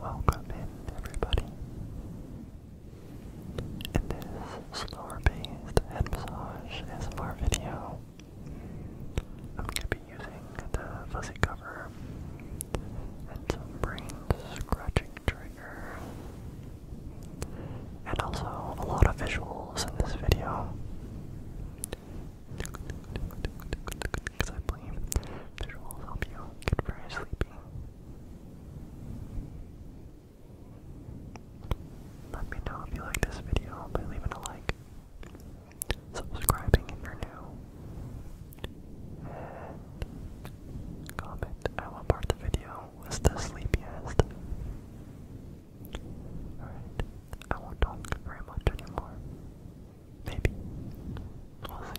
Welcome in, everybody. In this slower-paced head massage ASMR video, I'm going to be using the fuzzy cover and some brain scratching trigger, and also a lot of visuals in this video. Because I believe visuals help you get very sleepy. Let me know if you like this video by leaving a like, subscribing if you're new, comment what part of the video was the sleepiest. Alright, I won't talk very much anymore. Maybe. We'll see. Alright.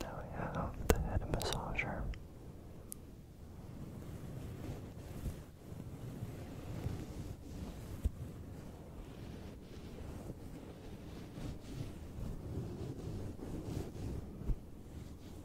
Now we have the head massager.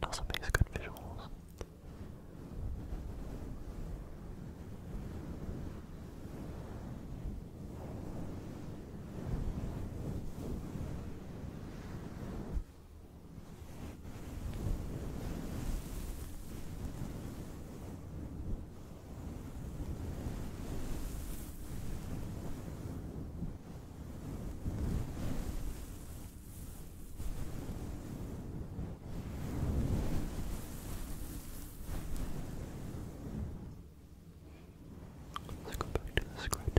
It also makes good visuals. Let's go back to the script.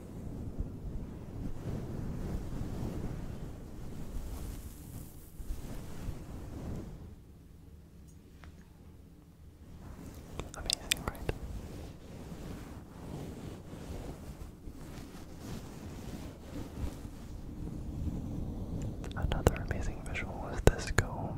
Amazing, right? Another amazing visual is this comb.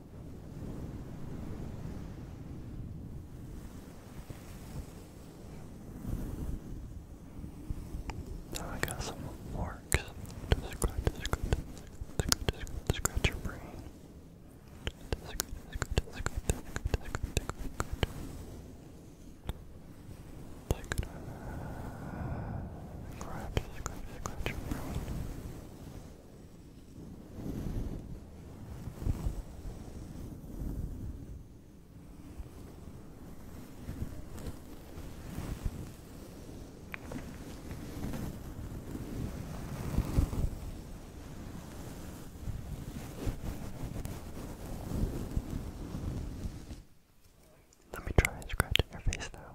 Now I got some forks scratch, scratch, your brain. Uh, scratch, scratch your brain. Let me try scratching your face now.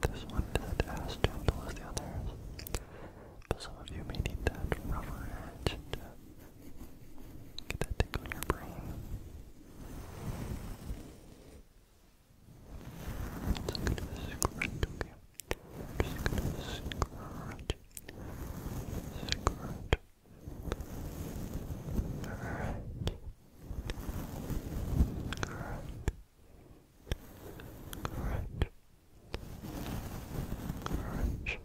This one isn't as gentle as the others, but some of you may need that rougher edge to get that tick on your brain. It's good to scratch, okay? Just scratch, scratch. Alright. Alright. Crunch. Crunch. Crunch.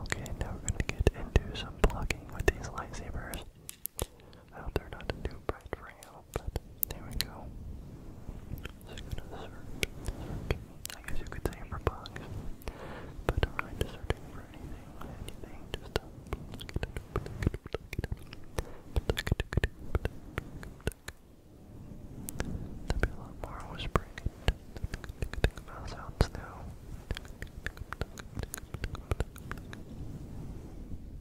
Okay, now we're going to get into some blocking with these lightsabers. Out there, they're not too bright for you, but there we go. I guess you could say for bugs, but I'm not searching for anything, anything, just a uh, will be a lot more whispering mouse sounds now.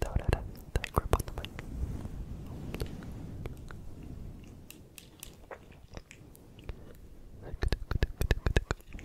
Don't let it tight grip on the mic. Tick, tick, tick, tick, tick.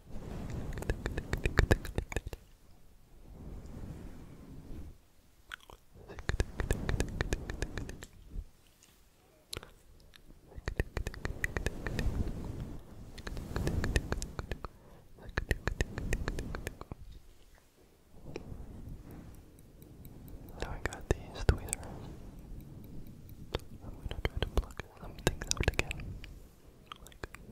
Now I got these tweezers. I'm gonna try to pluck some things out again. Like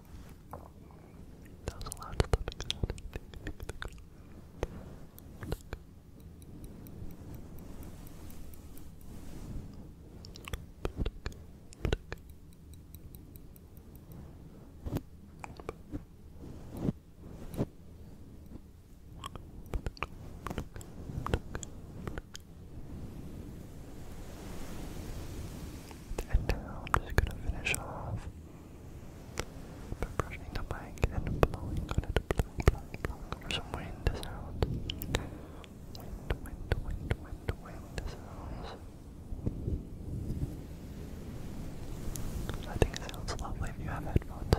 That a loud And now I'm just going to finish off by brushing the bike and blowing on it, blowing, blowing, blowing over some wind sound. Wind, wind, wind, wind, wind sounds. I think it sounds lovely if you have headphones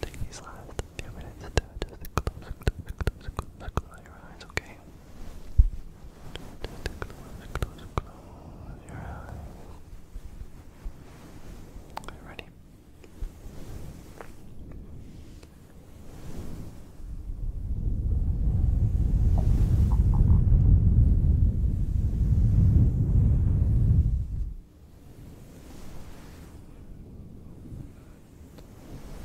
take these last few minutes to just close, close, your eyes, okay? Close, close, close your eyes. Are you ready? Good.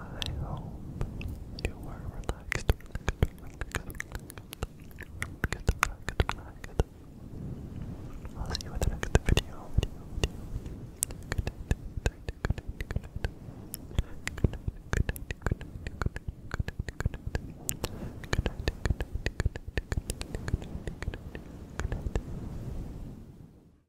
I hope you were relaxed, I'll see you in the next video. video, video,